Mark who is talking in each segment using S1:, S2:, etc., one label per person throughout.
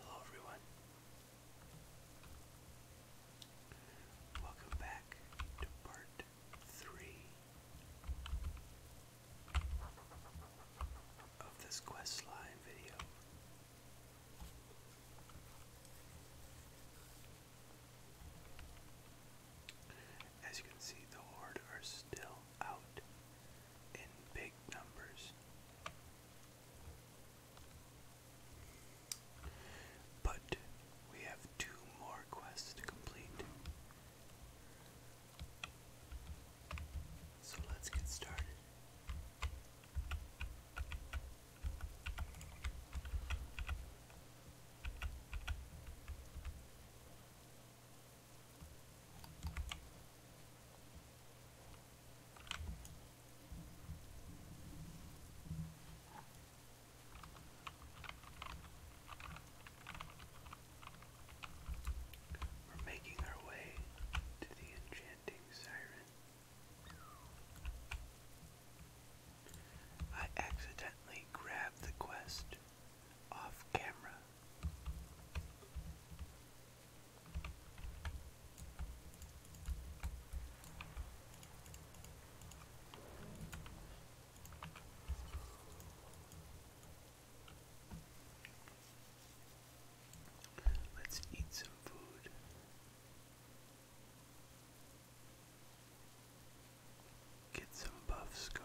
S1: Hello everyone. Welcome back to part 3 of this questline video. As you can see, the Horde are still out in big numbers. But we have two more quests to complete. So let's get started. We're making our way to the enchanting siren. I accidentally grabbed the quest off camera Let's eat some food. Get some buffs going.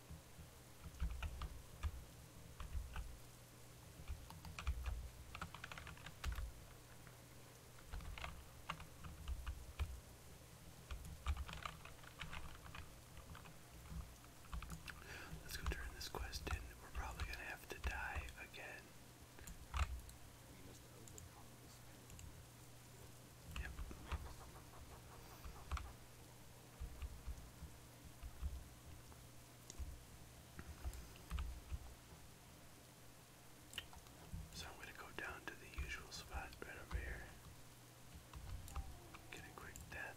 S1: Let's go turn this quest in. We're probably gonna have to die again. Yep. So I'm going to go down to the usual spot right over here. Get a quick death.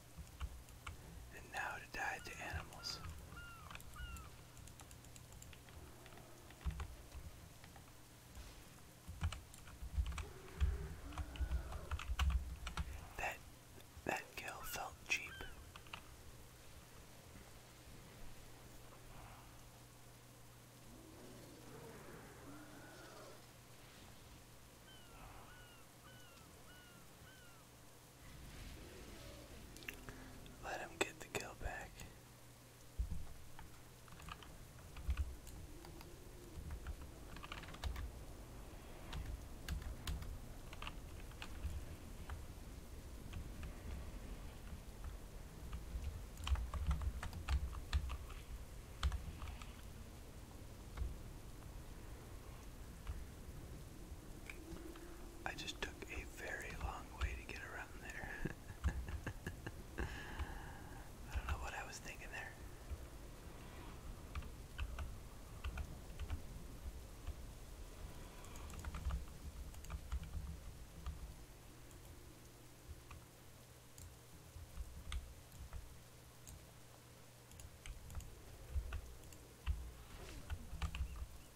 S1: and now to die to animals. That that kill felt cheap. Let him get the kill back. I just took a very long way to get around there. I don't know what I was thinking there.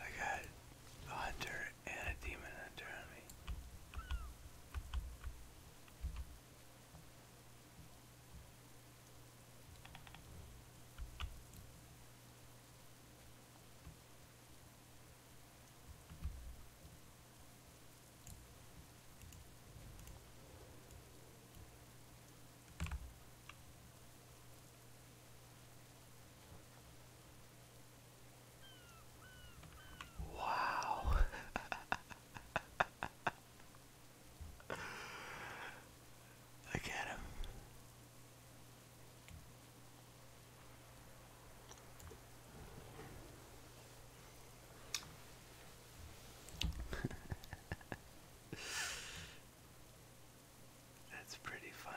S1: I got a hunter and a demon hunter on me. Wow. Look at him. That's pretty funny.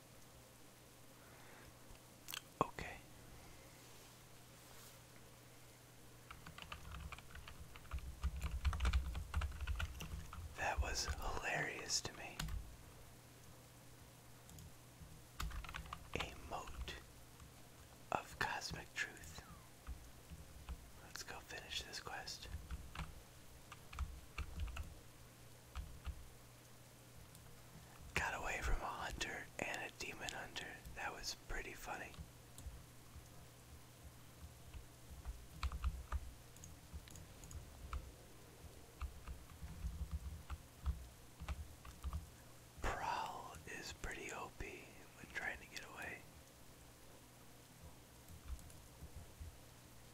S1: Okay. That was hilarious to me. A moat of cosmic truth. Let's go finish this quest. Got away from a hunter and a demon hunter. That was pretty funny. Prowl is pretty OP when trying to get away.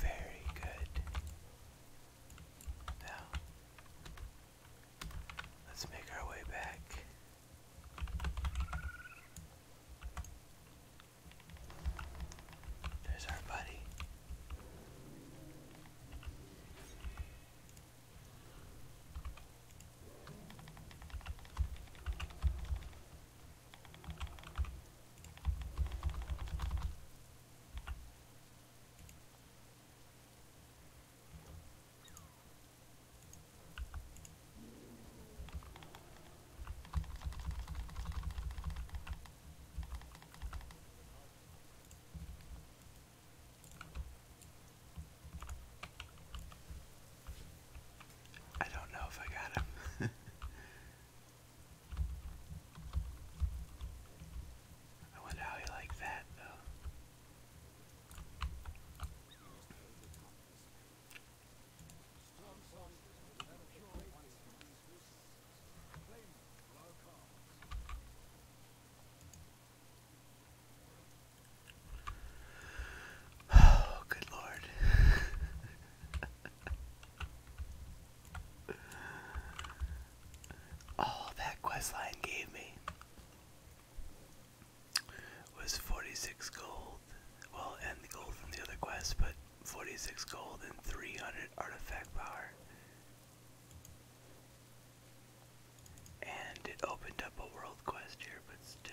S1: Very good. Now, let's make our way back there's our buddy. I don't know if I got him. I wonder how he liked that, though. Oh, good lord. All oh, that questline gave me was 46 gold. Well, and the gold from the other quest, but 46 gold and 300 artifact power. And it opened up a world quest here, but still.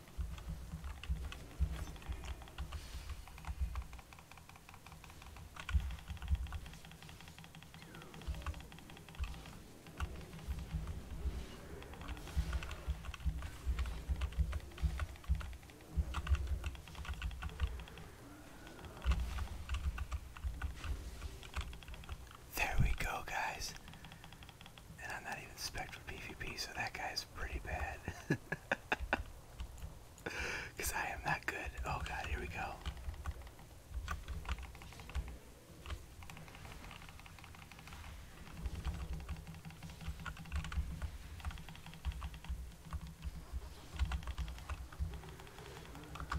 S1: There we go, guys. And I'm not even spec for PvP, so that guy's pretty bad. Because I am not good. Oh god, here we go.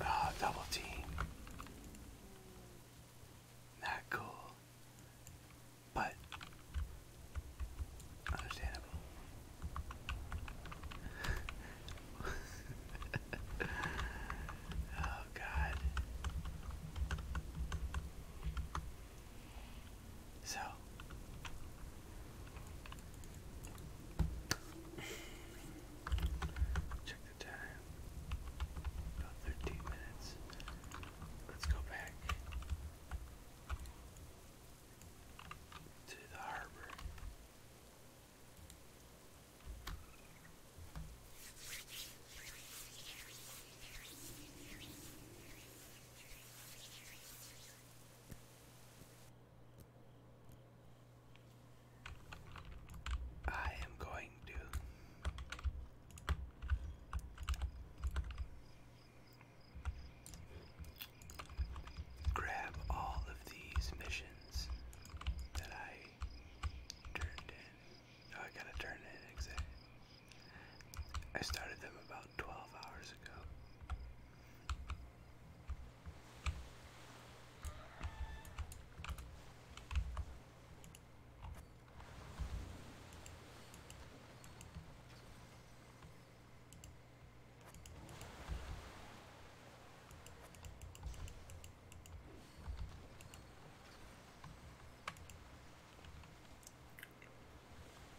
S1: Oh, double team. Not cool, but understandable. oh, God. So. Check the time. About 13 minutes. Let's go back to the harbor. I am going to Grab all of these missions that I turned in. Oh, I gotta turn in I started them about 12 hours ago.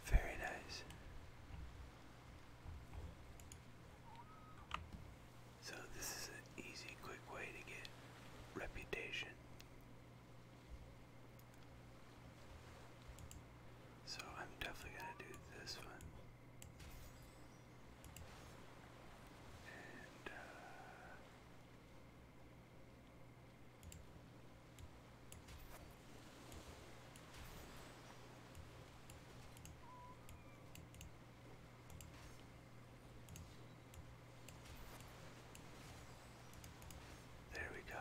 S1: Very nice. So, this is an easy, quick way to get reputation so I'm definitely going to do this one. Uh, there we go.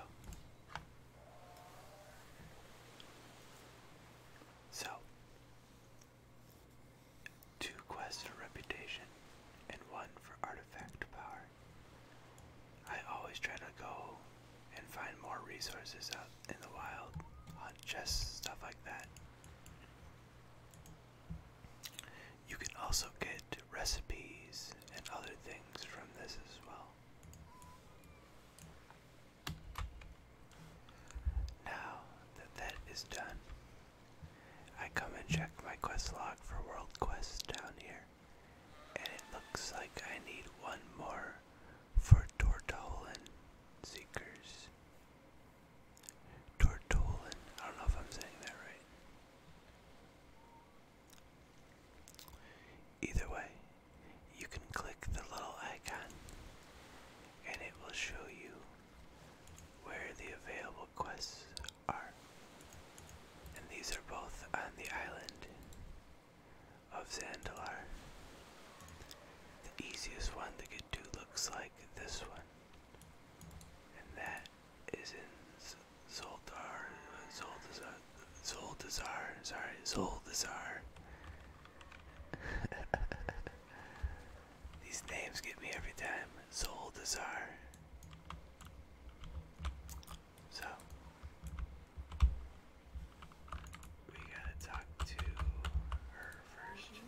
S1: So, two quests for reputation and one for artifact power. I always try to go and find more resources out in the wild on chests, stuff like that. You can also get recipes and other things from this as well. Now that that is done, I come and check my quest log for world quests down here, and it looks like I need one more for Tortolan Seekers. Tortolan, I don't know if I'm saying that right. Either way, you can click the little icon and it will show you where the available quests are. And these are both on the island of Zandalar. The easiest one to get to looks like this one. And that is in Zoldar, Zoldazar, Zoldazar, sorry, Zoldazar. These names get me every time. Zoldazar. So, we gotta talk to her first.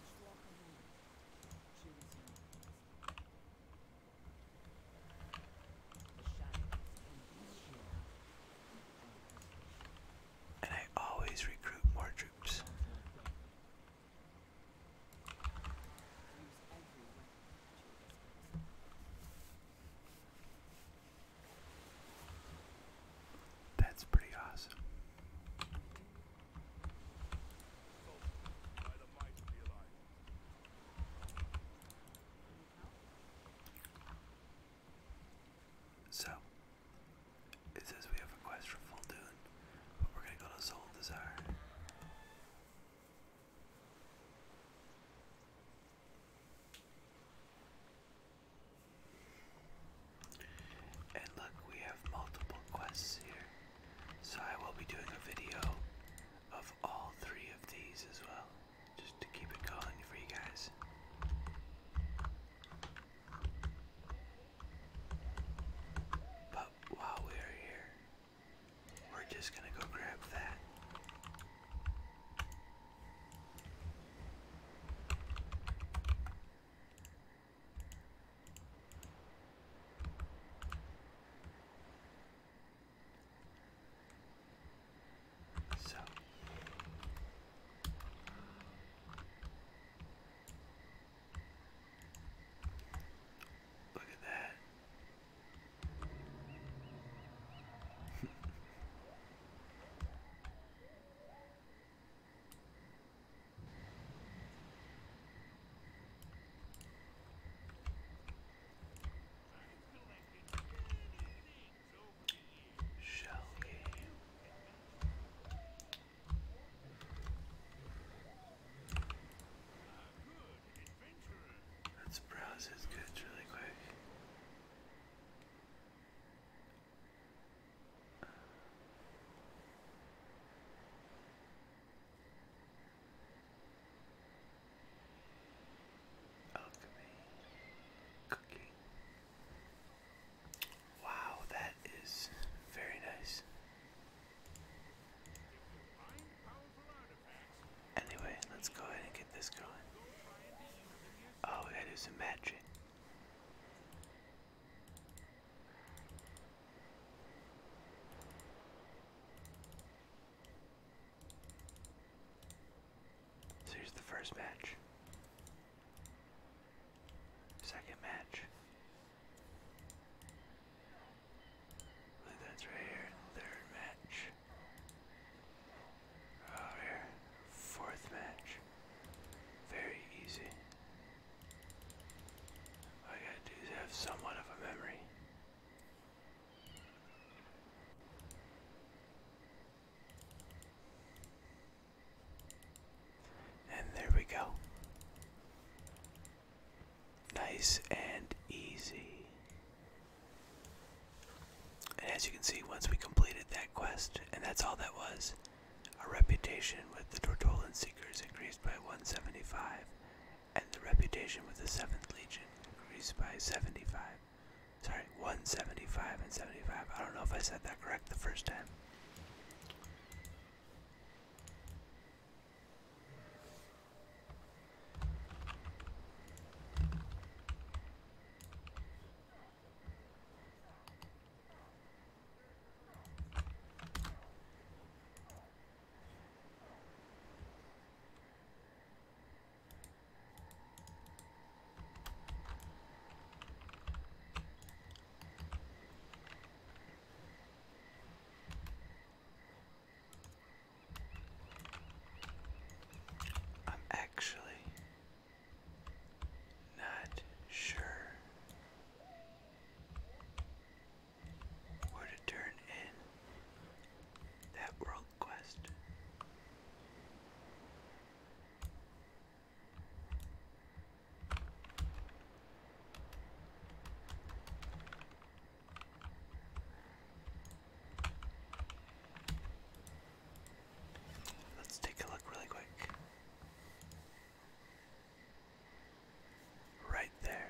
S1: And I always recruit more troops. That's pretty awesome. So, it says we have a quest for Full Dune, but we're gonna go to Soul Desire. And look, we have multiple quests here. So I will be doing a video of all three of these as well, just to keep it going for you guys. But while we are here, we're just gonna go grab that. So look at that. Shall we? Let's browse his goods really quick. Alchemy. Cooking. Wow, that is very nice. Anyway, let's go ahead and get this going. Oh, we gotta do some matching. So here's the first match. Second match. I believe that's right here. Third match. Oh here. Fourth match. Very easy. All I gotta do is have somewhat of a memory. And there we go. Nice and easy. And as you can see, once we completed that quest, and that's all that was, our reputation with the Tortolan Seekers increased by 175, and the reputation with the Seventh Legion increased by 75. Sorry, 175 and 75. I don't know if I said that correct the first time. I'm actually not sure where to turn in that world quest. Let's take a look really quick. Right there.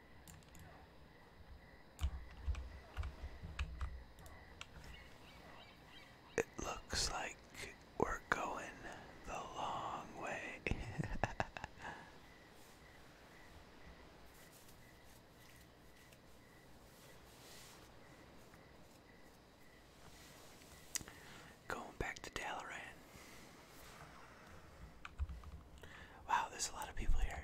S1: It looks like we're going the long way. Going back to Dalaran. Wow, there's a lot of people here.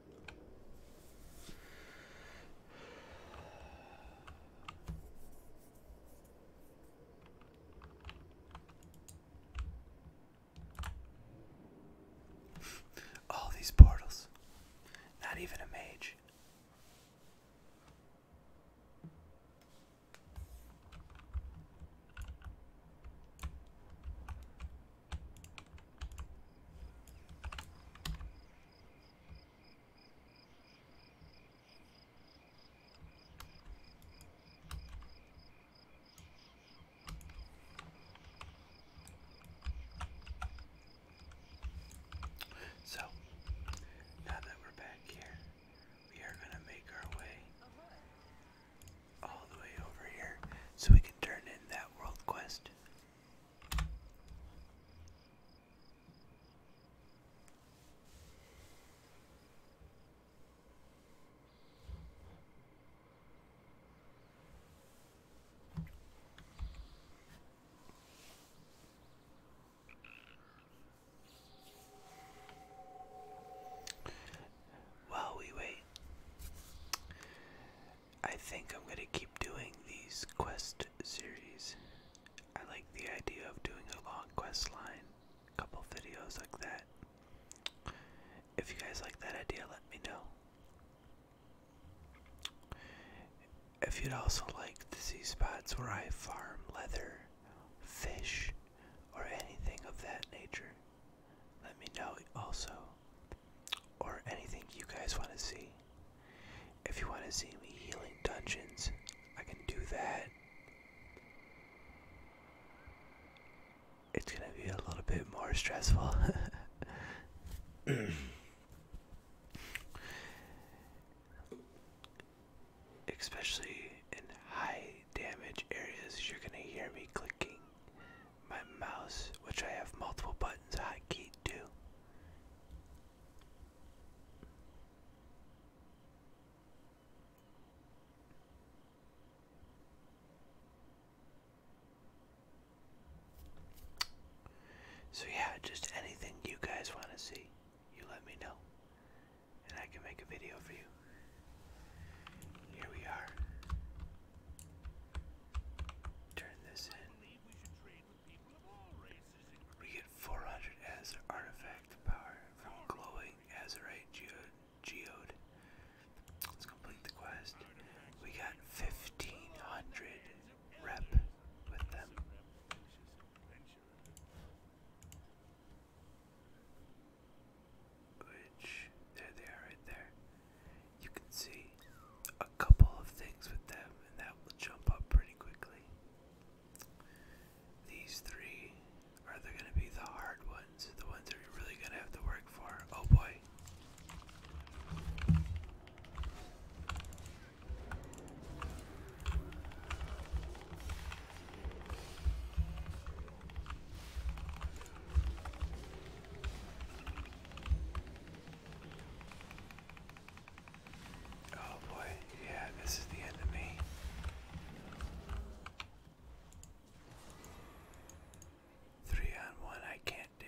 S1: All these portals. Not even a mage. So, now that we're back here, we are going to make our way all the way over here so we can turn in that world quest. While we wait, I think I'm going to keep doing these quest series. I like the idea of doing a long quest line, a couple videos like that. If you guys like that idea, let me know. If you'd also like to see spots where I farm leather, fish, or anything of that nature, let me know also. Or anything you guys want to see. If you want to see me healing dungeons, I can do that. It's gonna be a little bit more stressful. Especially in high damage areas, you're gonna hear me clicking my mouse, which I have multiple buttons I hotkeyed to. So, yeah, just anything you guys want to see, you let me know, and I can make a video for you. Here we are. Turn this in. We get 400 as artifact power from glowing azurite geode. Let's complete the quest. We got 1500 rep with them. Which, there they are right there. You can see, couple of things with them, and that will jump up pretty quickly. These three are they going to be the hard ones, the ones that you're really going to have to work for. Oh boy. Oh boy, yeah, this is the end of me. Three on one, I can't do.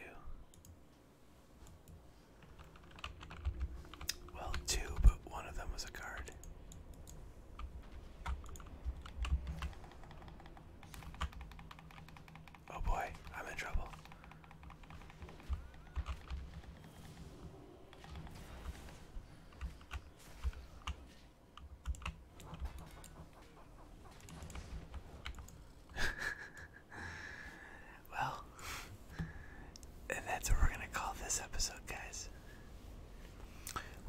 S1: Well, two, but one of them was a card. Oh boy, I'm in trouble. well, and that's what we're going to call this episode, guys.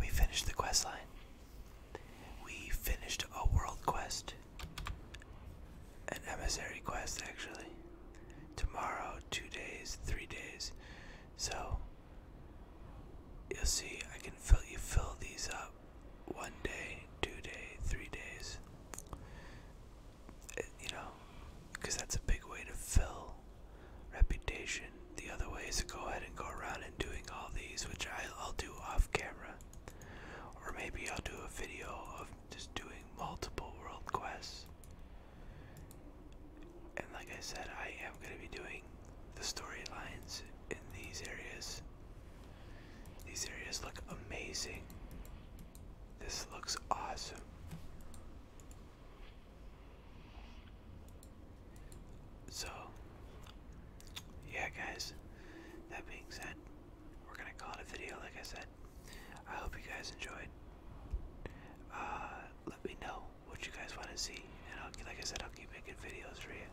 S1: We finished the quest line. We finished a world quest an emissary quest actually. Tomorrow, two days, three days. So you'll see I can fill you fill these up one day, two day, three days. Uh, you know, because that's a big way to fill reputation. The other way is to go ahead and go around and doing all these, which I, I'll do off camera. Or maybe I'll do a video of just doing multiple world quests. And like I said, I am going to be doing the storylines in these areas. These areas look amazing. This looks awesome. So, yeah, guys, that being said, we're going to call it a video, like I said. I hope you guys enjoyed. Uh, let me know what you guys want to see, and I'll, like I said, I'll keep making videos for you.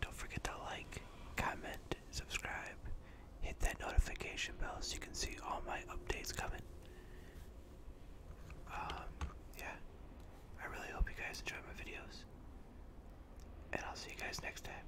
S1: Don't forget to like, comment, subscribe, hit that notification bell so you can see all my updates coming. Um, yeah, I really hope you guys enjoy my videos, and I'll see you guys next time.